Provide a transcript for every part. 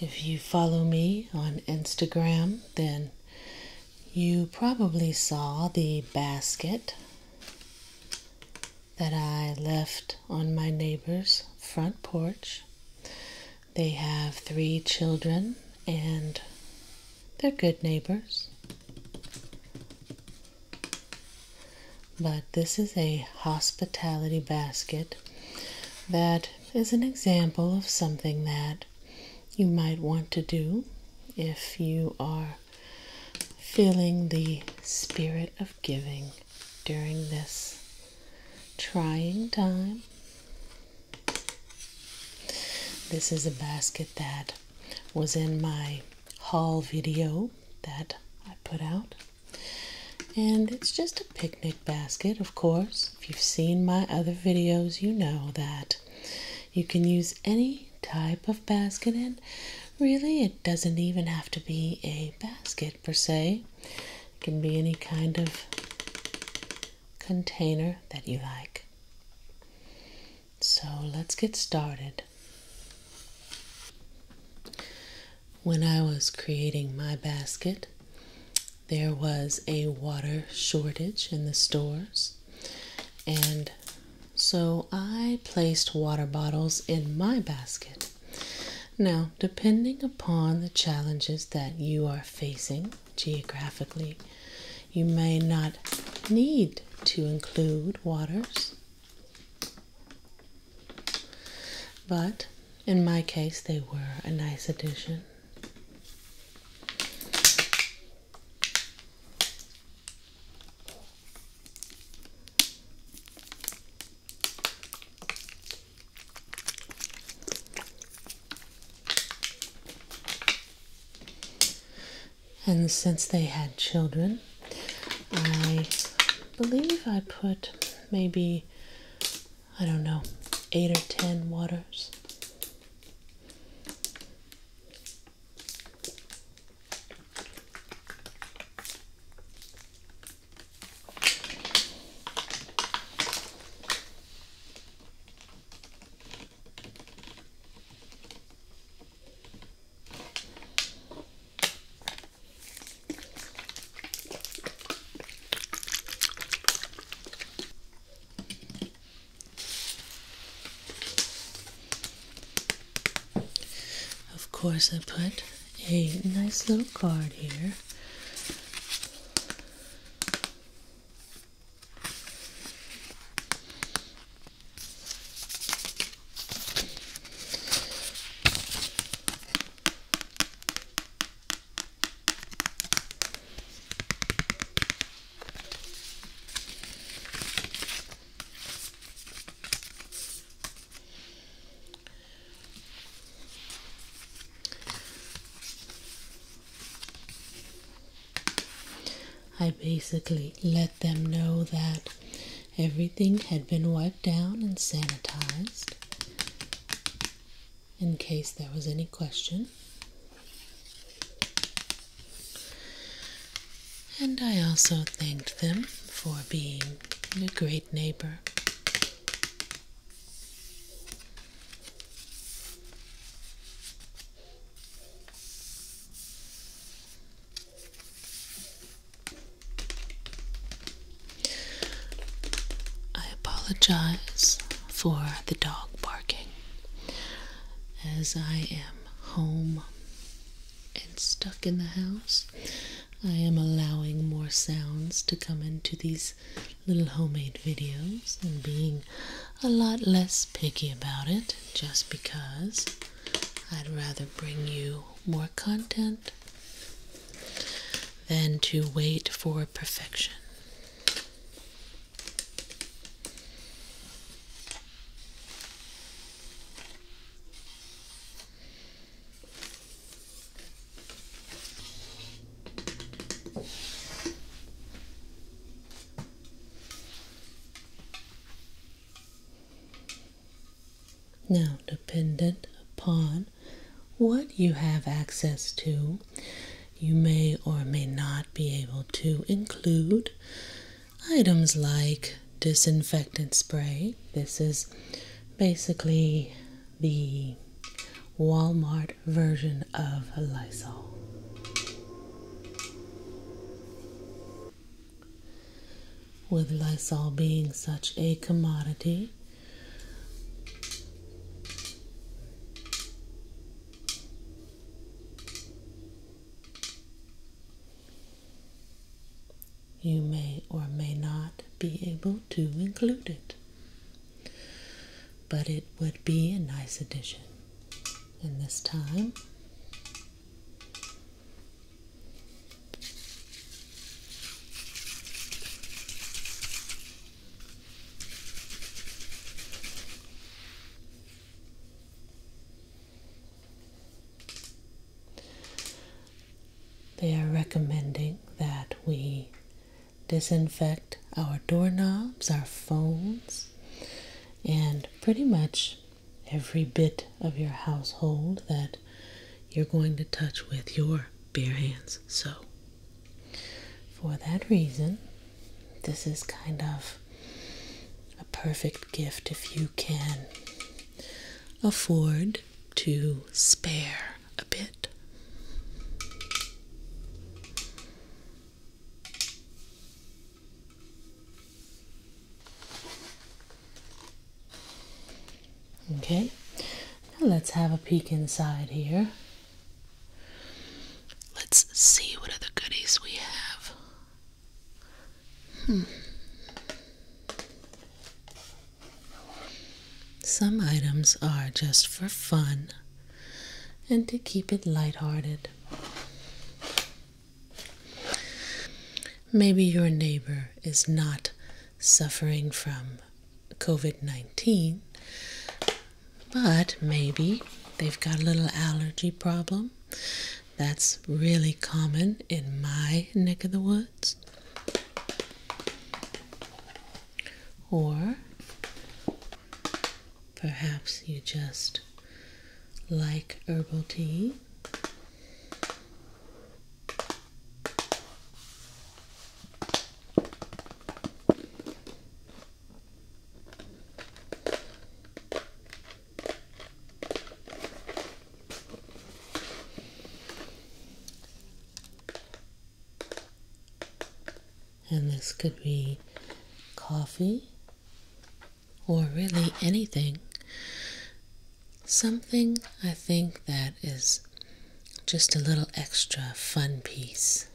If you follow me on Instagram, then you probably saw the basket that I left on my neighbor's front porch. They have three children and they're good neighbors but this is a hospitality basket that is an example of something that you might want to do if you are feeling the spirit of giving during this trying time. This is a basket that was in my haul video that I put out. And it's just a picnic basket, of course. If you've seen my other videos, you know that you can use any type of basket, and really, it doesn't even have to be a basket per se, it can be any kind of container that you like. So let's get started. When I was creating my basket, there was a water shortage in the stores, and so I placed water bottles in my basket. Now, depending upon the challenges that you are facing geographically, you may not need to include waters but in my case, they were a nice addition. And since they had children, I believe I put maybe, I don't know, eight or ten waters. Of course, I put a nice little card here. I basically let them know that Everything had been wiped down and sanitized in case there was any question. And I also thanked them for being a great neighbor. I apologize for the dog barking as I am home and stuck in the house. I am allowing more sounds to come into these little homemade videos and being a lot less picky about it just because I'd rather bring you more content than to wait for perfection. Now, dependent upon what you have access to, you may or may not be able to include items like disinfectant spray. This is basically the Walmart version of Lysol. With Lysol being such a commodity, you may or may not be able to include it. But it would be a nice addition. And this time, they are recommending that we disinfect our doorknobs, our phones, and pretty much every bit of your household that you're going to touch with your bare hands. So, for that reason, this is kind of a perfect gift if you can afford to spare a bit. Okay, now let's have a peek inside here. Let's see what other goodies we have. Hmm. Some items are just for fun and to keep it lighthearted. Maybe your neighbor is not suffering from COVID 19, but maybe they've got a little allergy problem. That's really common in my neck of the woods. Or Perhaps you just like herbal tea. And this could be coffee or really anything. Something I think that is just a little extra fun piece.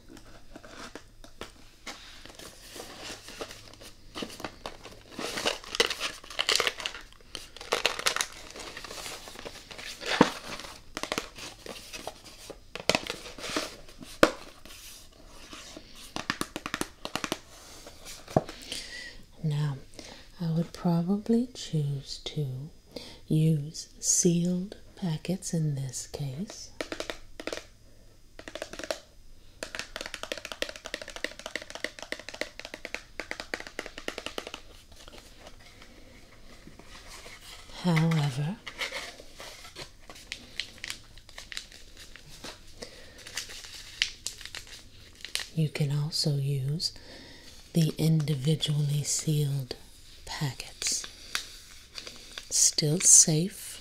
Now, I would probably choose to use sealed packets in this case. However, you can also use the individually sealed packets. Still safe,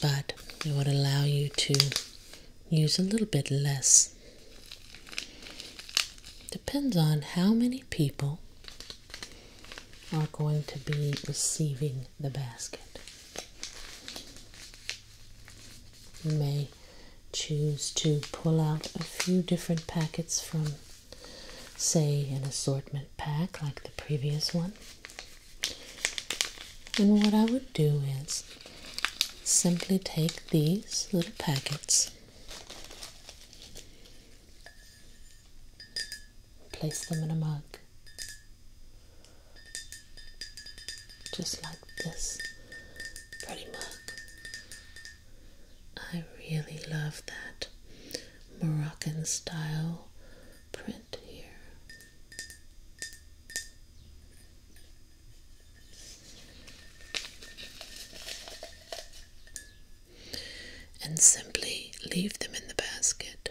but it would allow you to use a little bit less. Depends on how many people are going to be receiving the basket. You may choose to pull out a few different packets from, say, an assortment pack like the previous one. And what I would do is simply take these little packets place them in a mug just like this pretty mug. I really love that Moroccan style print here. And simply leave them in the basket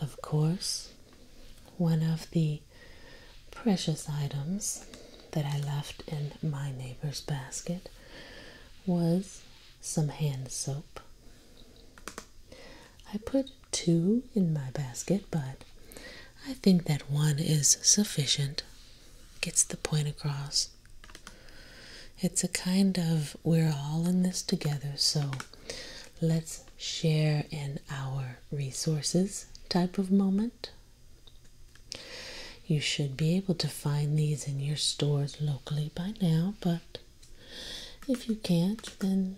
Of course, one of the precious items that I left in my neighbor's basket was some hand soap. I put two in my basket, but I think that one is sufficient. Gets the point across. It's a kind of we're all in this together, so let's share in our resources type of moment. You should be able to find these in your stores locally by now, but if you can't, then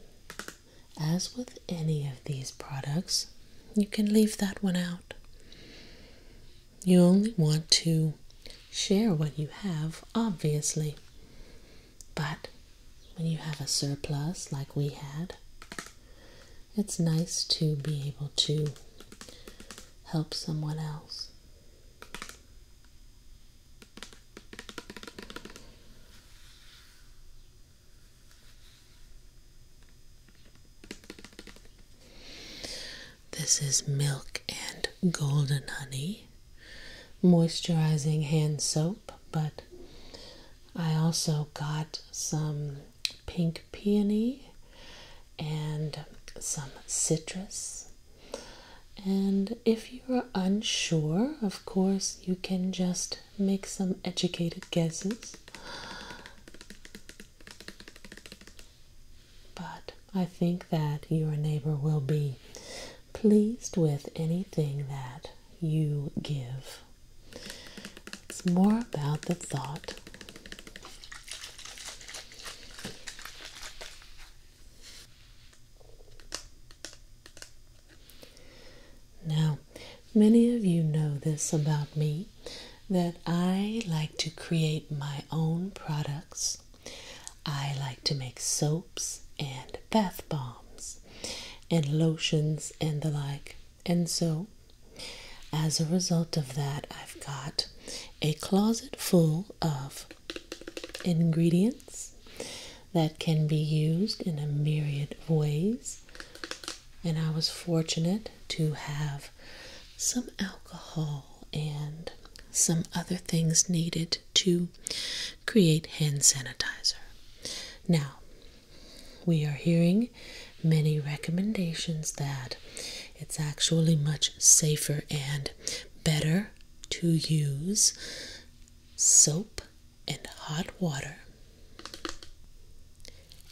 as with any of these products, you can leave that one out. You only want to share what you have, obviously. But when you have a surplus like we had, it's nice to be able to help someone else. This is milk and golden honey moisturizing hand soap but I also got some pink peony and some citrus. And if you're unsure, of course, you can just make some educated guesses. But I think that your neighbor will be pleased with anything that you give. It's more about the thought. Now, many of you know this about me that I like to create my own products. I like to make soap and bath bombs and lotions and the like. And so, as a result of that, I've got a closet full of ingredients that can be used in a myriad ways. And I was fortunate to have some alcohol and some other things needed to create hand sanitizer. Now, we are hearing many recommendations that it's actually much safer and better to use soap and hot water.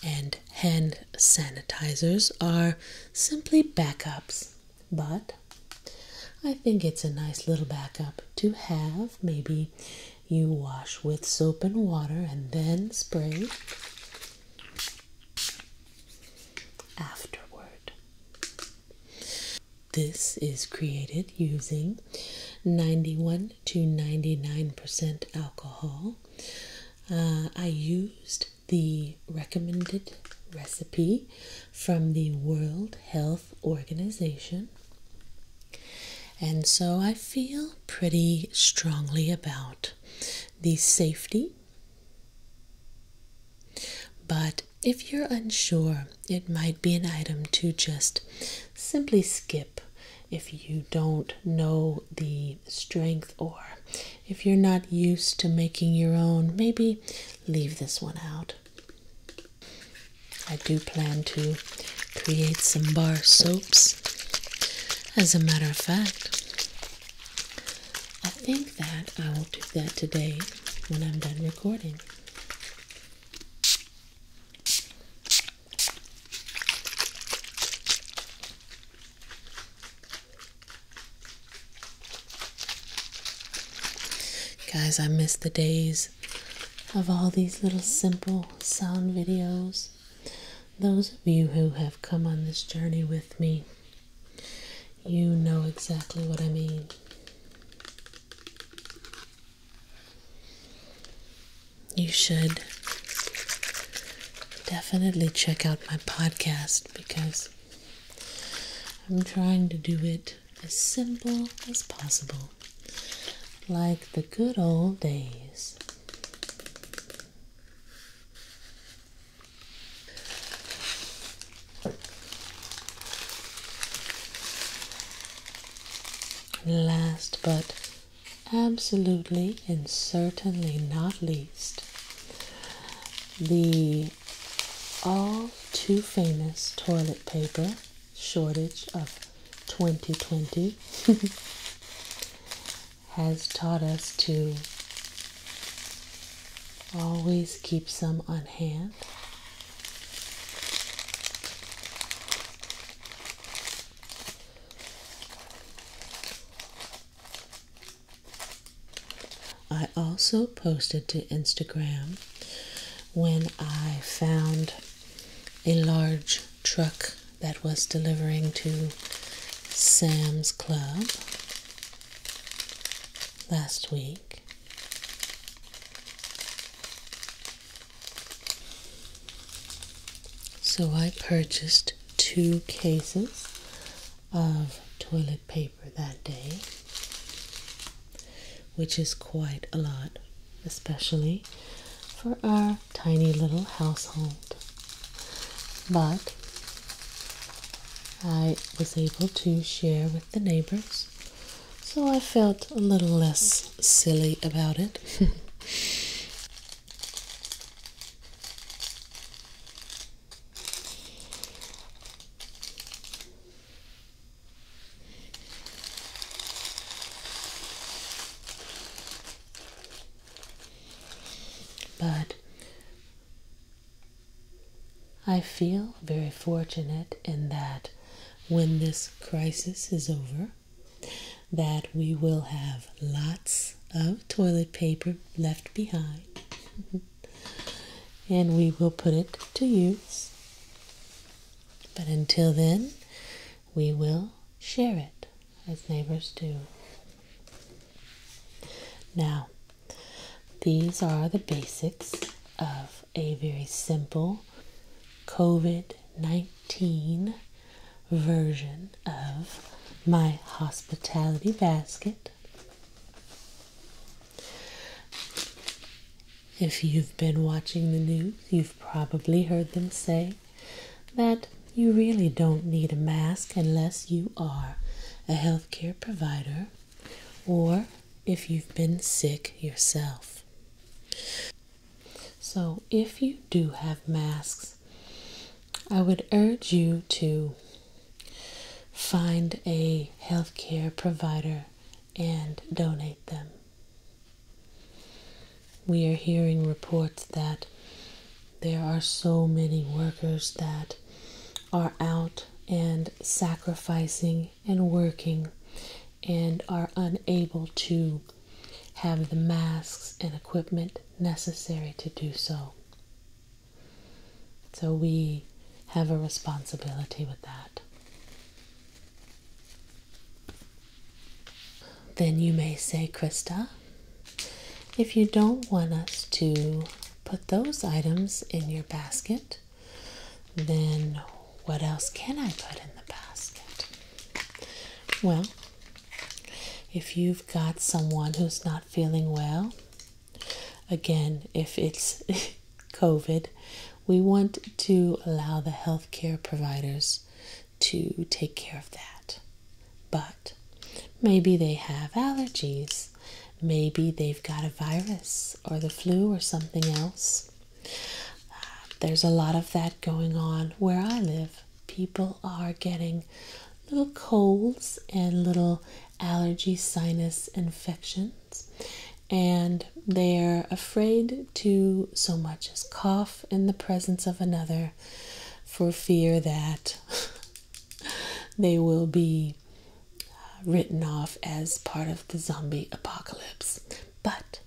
And hand sanitizers are simply backups, but I think it's a nice little backup to have. Maybe you wash with soap and water and then spray afterward. This is created using 91 to 99% alcohol. Uh, I used the recommended recipe from the World Health Organization. And so I feel pretty strongly about the safety. But if you're unsure, it might be an item to just simply skip if you don't know the strength or if you're not used to making your own. Maybe leave this one out. I do plan to create some bar soaps. As a matter of fact, I think that I will do that today when I'm done recording. Guys, I miss the days of all these little simple sound videos. Those of you who have come on this journey with me, you know exactly what I mean. You should definitely check out my podcast because I'm trying to do it as simple as possible, like the good old days. Last but absolutely and certainly not least, the all too famous toilet paper shortage of 2020 has taught us to always keep some on hand. I also posted to Instagram when I found a large truck that was delivering to Sam's Club last week. So I purchased two cases of toilet paper paper that day, which is quite a lot, especially for our tiny little household. But I was able to share with the neighbors, so I felt a little less silly about it. But I feel very fortunate in that when this crisis is over, that we will have lots of toilet paper left behind. and we will put it to use. But until then, we will share it as neighbors do. Now, these are the basics of a very simple COVID 19 version of my hospitality basket if you've been watching the news, you've probably heard them say that you really don't need a mask unless you are a healthcare provider or if you've been sick yourself. So, if you do have masks, I would urge you to Find a healthcare provider and donate them. We are hearing reports that there are so many workers that are out and sacrificing and working and are unable to have the masks and equipment necessary to do so. So we have a responsibility with that. Then you may say, Krista, if you don't want us to put those items in your basket, then what else can I put in the basket? Well, if you've got someone who's not feeling well, Again, if it's COVID, we want to allow the healthcare providers to take care of that. But maybe they have allergies, maybe they've got a virus or the flu or something else. there's a lot of that going on where I live. People are getting little colds and little allergy, sinus infections, and they're afraid to so much as cough in the presence of another for fear that they will be uh, written off as part of the zombie apocalypse. But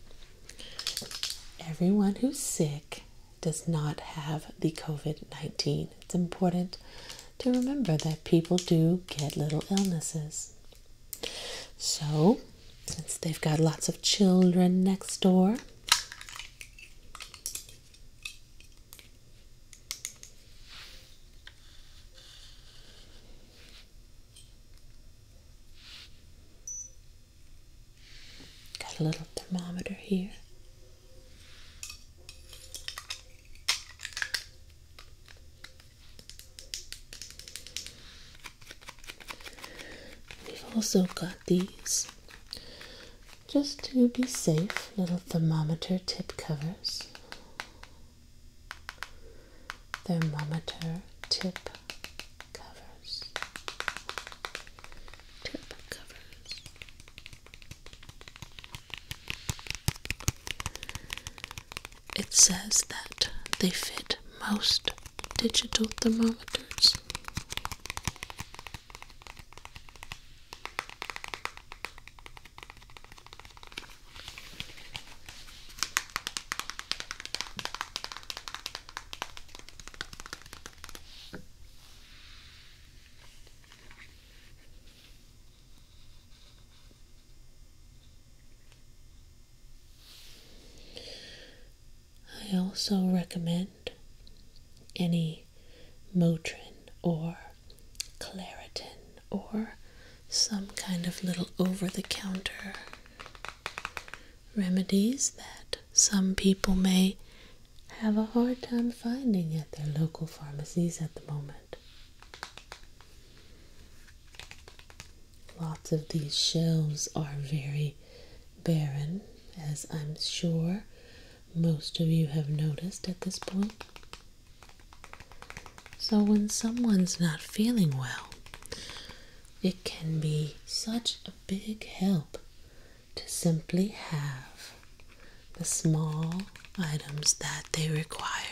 everyone who's sick does not have the COVID 19 it's important to remember that people do get little illnesses. So, since they've got lots of children next door, Got a little thermometer here. We've also got these just to be safe little thermometer tip covers. Thermometer tip covers. Tip covers. It says that they fit most digital thermometers. I also recommend any Motrin or Claritin or some kind of little over the counter remedies that some people may have a hard time finding at their local pharmacies at the moment. Lots of these shelves are very barren, as I'm sure most of you have noticed at this point. So, when someone's not feeling well, it can be such a big help to simply have the small items that they require.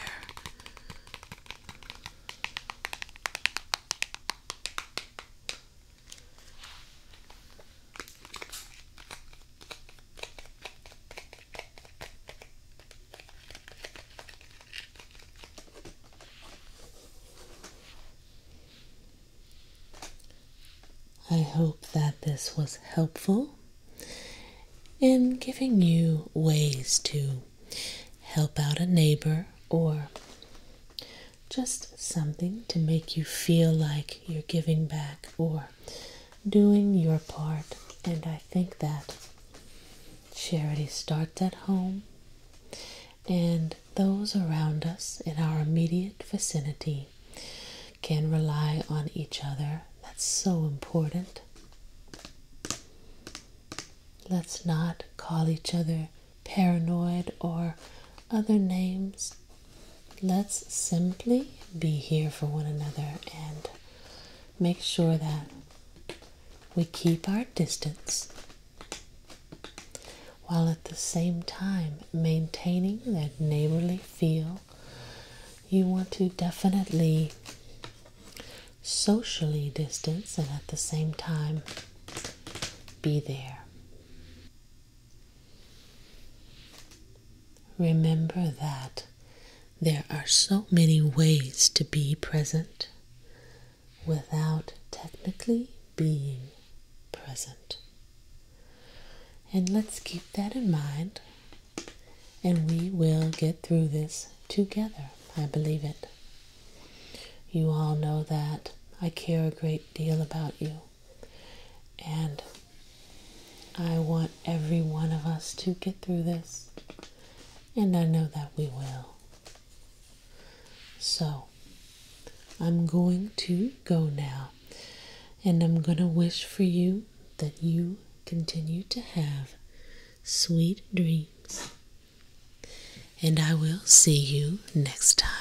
I hope that this was helpful in giving you ways to help out a neighbor or just something to make you feel like you're giving back or doing your part. And I think that charity starts at home and those around us in our immediate vicinity can rely on each other. That's so important. Let's not call each other paranoid or other names. Let's simply be here for one another and make sure that we keep our distance while at the same time maintaining that neighborly feel you want to definitely socially distance and at the same time be there. Remember that there are so many ways to be present without technically being present. And let's keep that in mind, and we will get through this together. I believe it. You all know that I care a great deal about you, and I want every one of us to get through this, and I know that we will. So, I'm going to go now. And I'm going to wish for you that you continue to have sweet dreams. And I will see you next time.